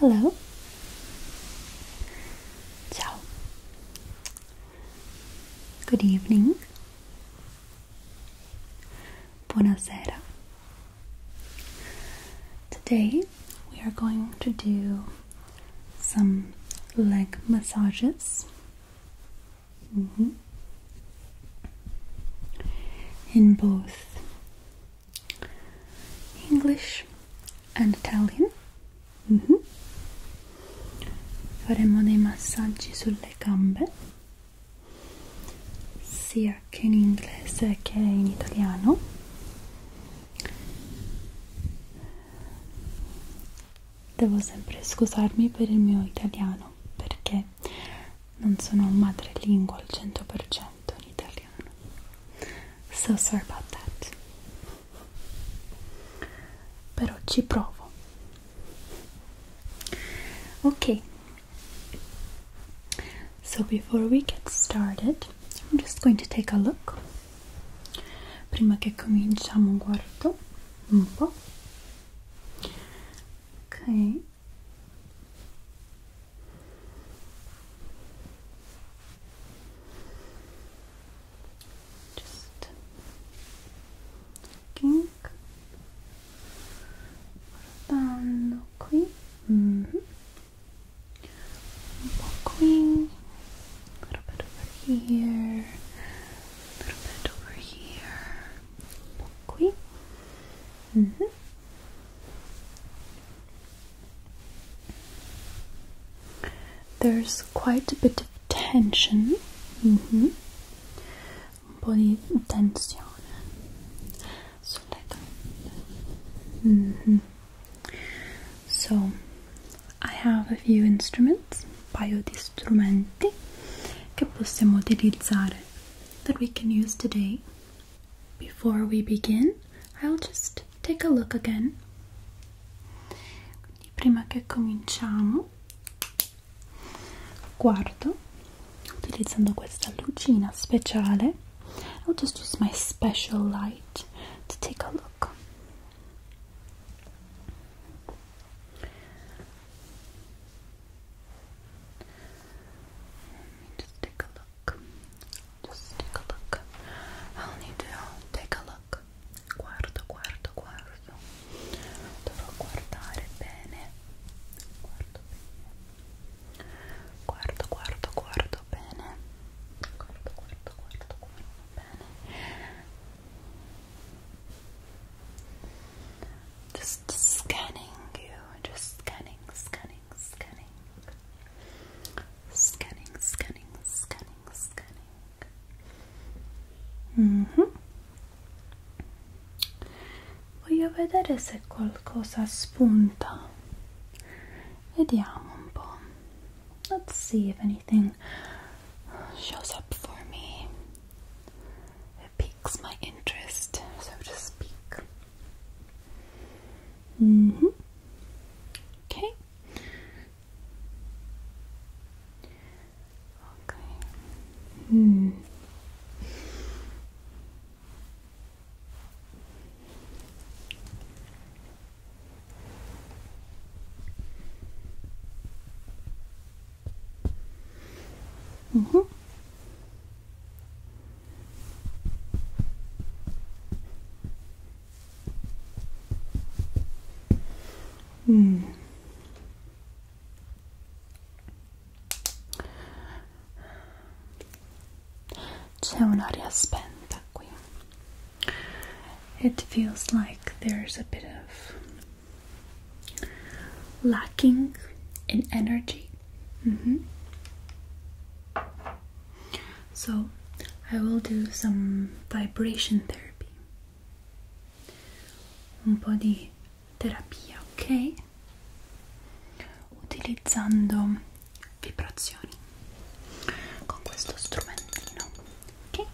Hello. Ciao. Good evening. Buonasera. Today we are going to do some leg massages. Mm-hmm. In both English and Italian. Mm-hmm. Faremo dei massaggi sulle gambe. sia che in inglese che in italiano devo sempre scusarmi per il mio italiano perché non sono madrelingua al 100% in italiano so sorry about that però ci provo Okay, so before we get started, I'm just going to take a look prima che cominciamo. Guardo un po'. Okay. Just looking guardando qui mm -hmm. un a little bit over here a little bit over here un -hmm. There's quite a bit of tension. -hmm. un po' di tensione sulle gambe. Mm -hmm. So, I have a few instruments, un paio di strumenti che possiamo utilizzare that we can use today. Before we begin, I'll just take a look again. Quindi prima che cominciamo guardo utilizzando questa lucina speciale I'll just use my special light to take a look Let me just take a look. Just take a look. I'll need to take a look. Guardo, guardo, guardo giusto dovrò guardare bene guardo bene guardo guardo guardo bene guardo guardo guardo guardo bene just scanning you just scanning scanning scanning scanning scanning scanning scanning mhm mm voglio vedere se qualcosa spunta vediamo un po' let's see if anything shows up for me it piques my interest so to speak mm-hmm. okay Okay. Hmm. Mm -hmm. C'è un'aria spenta qui. It feels like there's a bit of lacking in energy. Mm-hmm. So, I will do some vibration therapy. Un po' di terapia, ok? Utilizzando vibrazioni con questo strumentino, ok?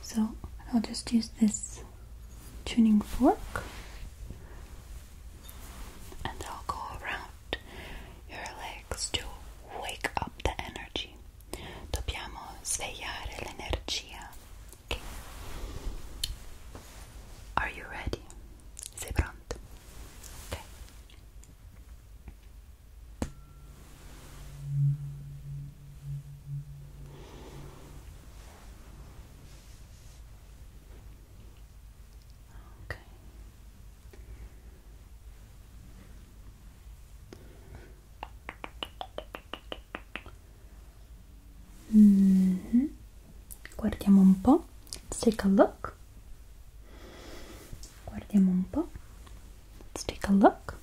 So I'll just use this tuning fork and I'll go around your legs to wake up the energy. Dobbiamo svegliare l'energia Are you ready? Sei pronto? Okay. Mm-hmm. Let's take a look. Let's take a look.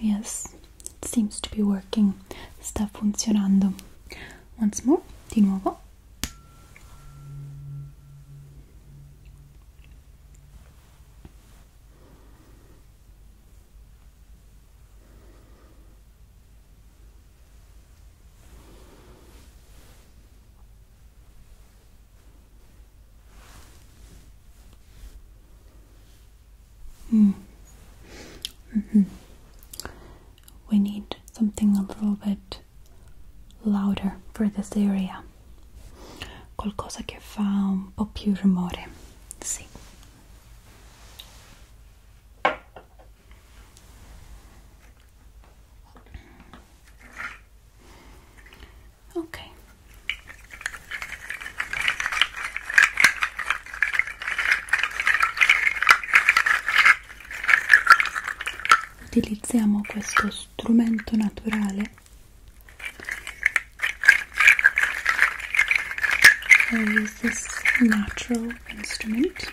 Yes, it seems to be working. Sta funzionando. Once more, di nuovo. Mm. Mm -hmm. Mm-hmm. We need something a little bit louder for this area. Qualcosa che fa un po' più rumore. Sì, Ok. Utilizziamo questo strumento naturale I use this natural instrument.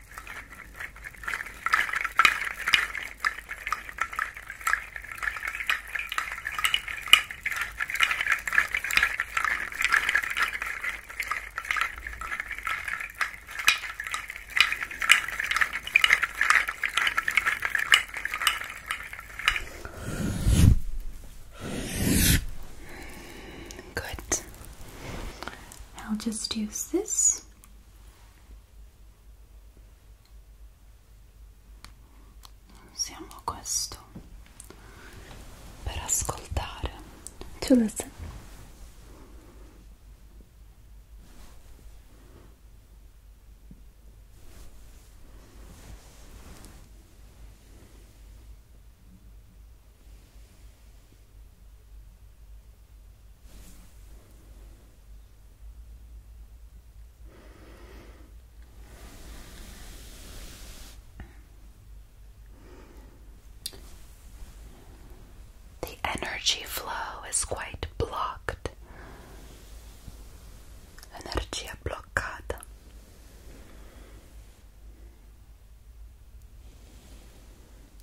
Good. I'll just use this Siamo a questo per ascoltare. To listen. The energy flow is quite blocked. Energia bloccata.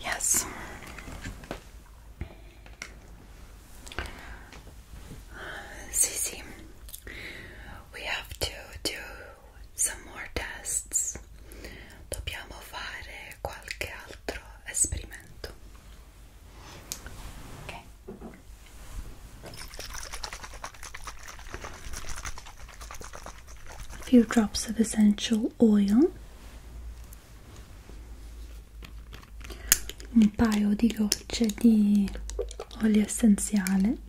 Yes. Cece, we have to do some more tests dobbiamo fare qualche altro esperimento ok a few drops of essential oil un paio di gocce di olio essenziale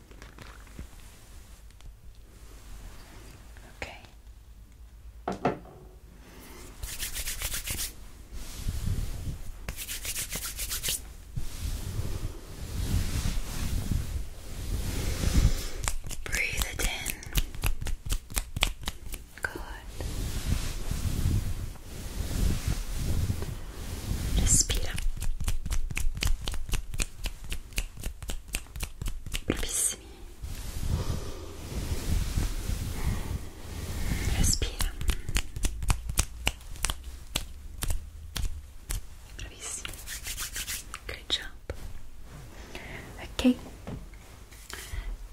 Okay. Breathe it in. Good. Just bravissimi respira bravissimi good job okay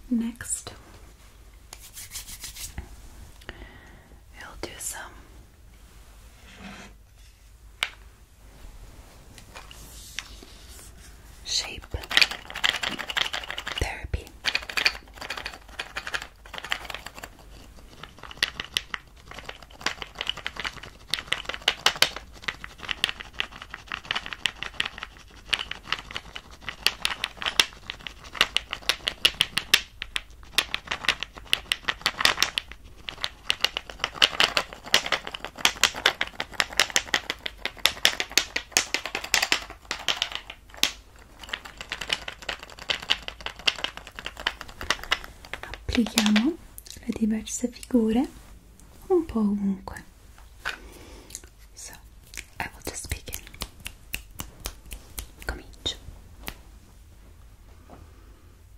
next we'll do some Shape Therapy. applichiamo le diverse figure un po' ovunque so I will just begin comincio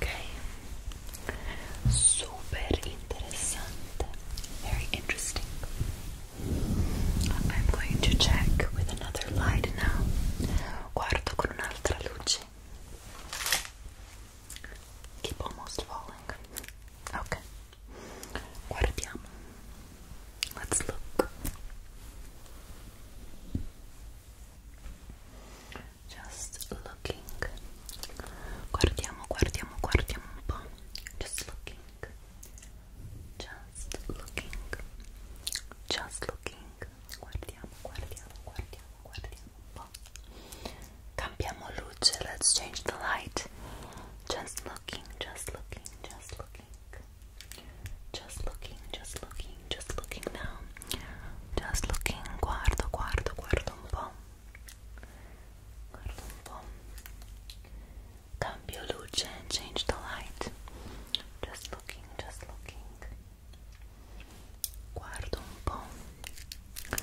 Ok, super interessante, very interesting. I'm going to check with another light now. Guardo con un'altra luce. Keep almost falling. Ok, guardiamo. Let's look just looking guardiamo guardiamo guardiamo un po' just looking just looking just looking guardiamo guardiamo guardiamo guardiamo un po' cambiamo luce let's change the light just looking just looking just looking just looking just looking just looking now just looking guardo guardo guardo un po' Cambio luce and change the light. Just looking, just looking. Guardo un po'.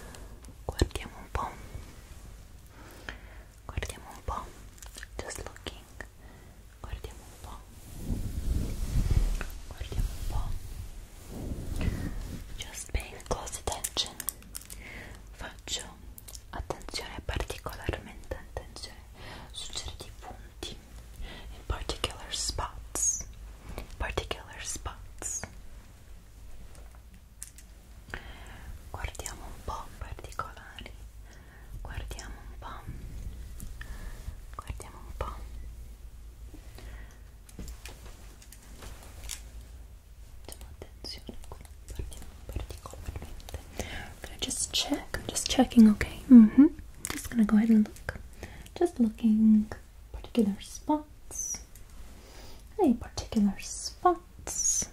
Guardiamo un po'. Guardiamo un po'. Just looking. Guardiamo un po'. Guardiamo un po'. just paying close attention faccio attenzione particolarmente attenzione su certi punti in particular spots particular spots guardiamo un po' particolari guardiamo un po' guardiamo un po' just check, I'm just checking, okay? Mm-hmm. Just gonna go ahead and look. Just looking particular spots. Any particular spots.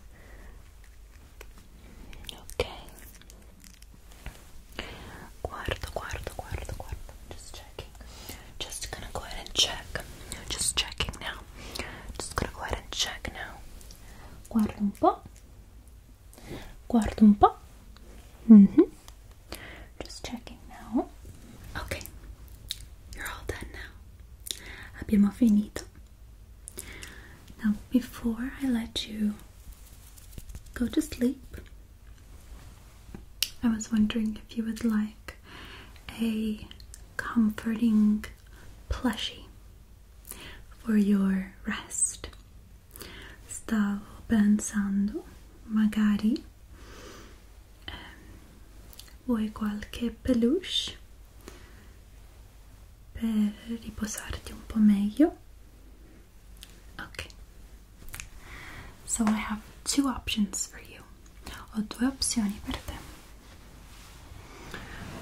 Ok. Guardo, guardo, guardo, guardo. Just just gonna go ahead and check. Just checking now. Just gonna go ahead and check now. Guarda un po'. Guarda un po'. Mm-hmm. Just checking now. Ok, you're all done now. Abbiamo finito. Now, before I let you go to sleep, I was wondering if you would like a comforting plushie for your rest. Stavo pensando, magari ehm, vuoi qualche peluche per riposarti un po' meglio. Okay. So I have two options for you. più ho due opzioni per te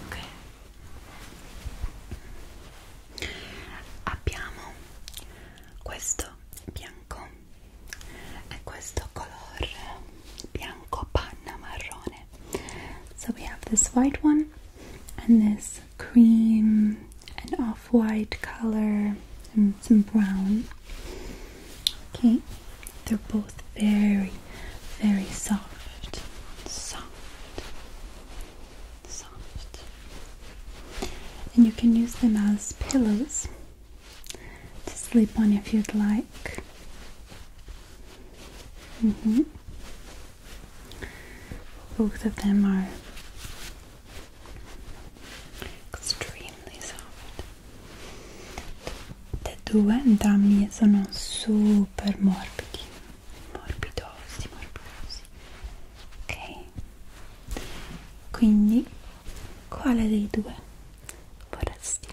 ok abbiamo questo bianco e questo color bianco panna marrone so we have this white one and this cream and off-white color and some brown Okay, they're both very, very soft, soft, soft, and you can use them as pillows to sleep on if you'd like. Mm-hmm. Both of them are extremely soft. tutte e due entrambi sono super morbidi morbidosi morbidosi ok quindi quale dei due vorresti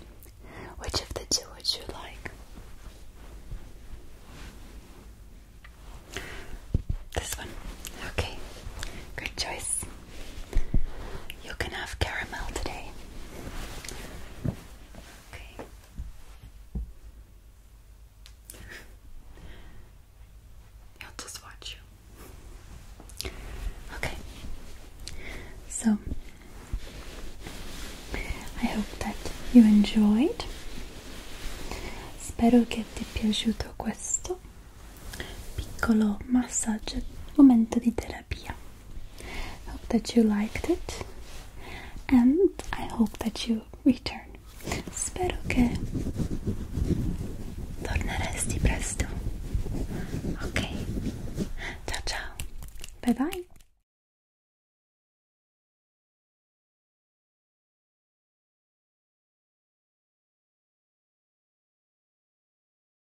which of the two would you like This one. Okay. Good choice. You can have caramel today. Okay. I'll just watch you. Okay. So I hope that you enjoyed. Spero che ti è piaciuto questo piccolo massaggio, momento di terapia Hope that you liked it and I hope that you return. Spero che torneresti presto. Ok, ciao ciao, bye bye.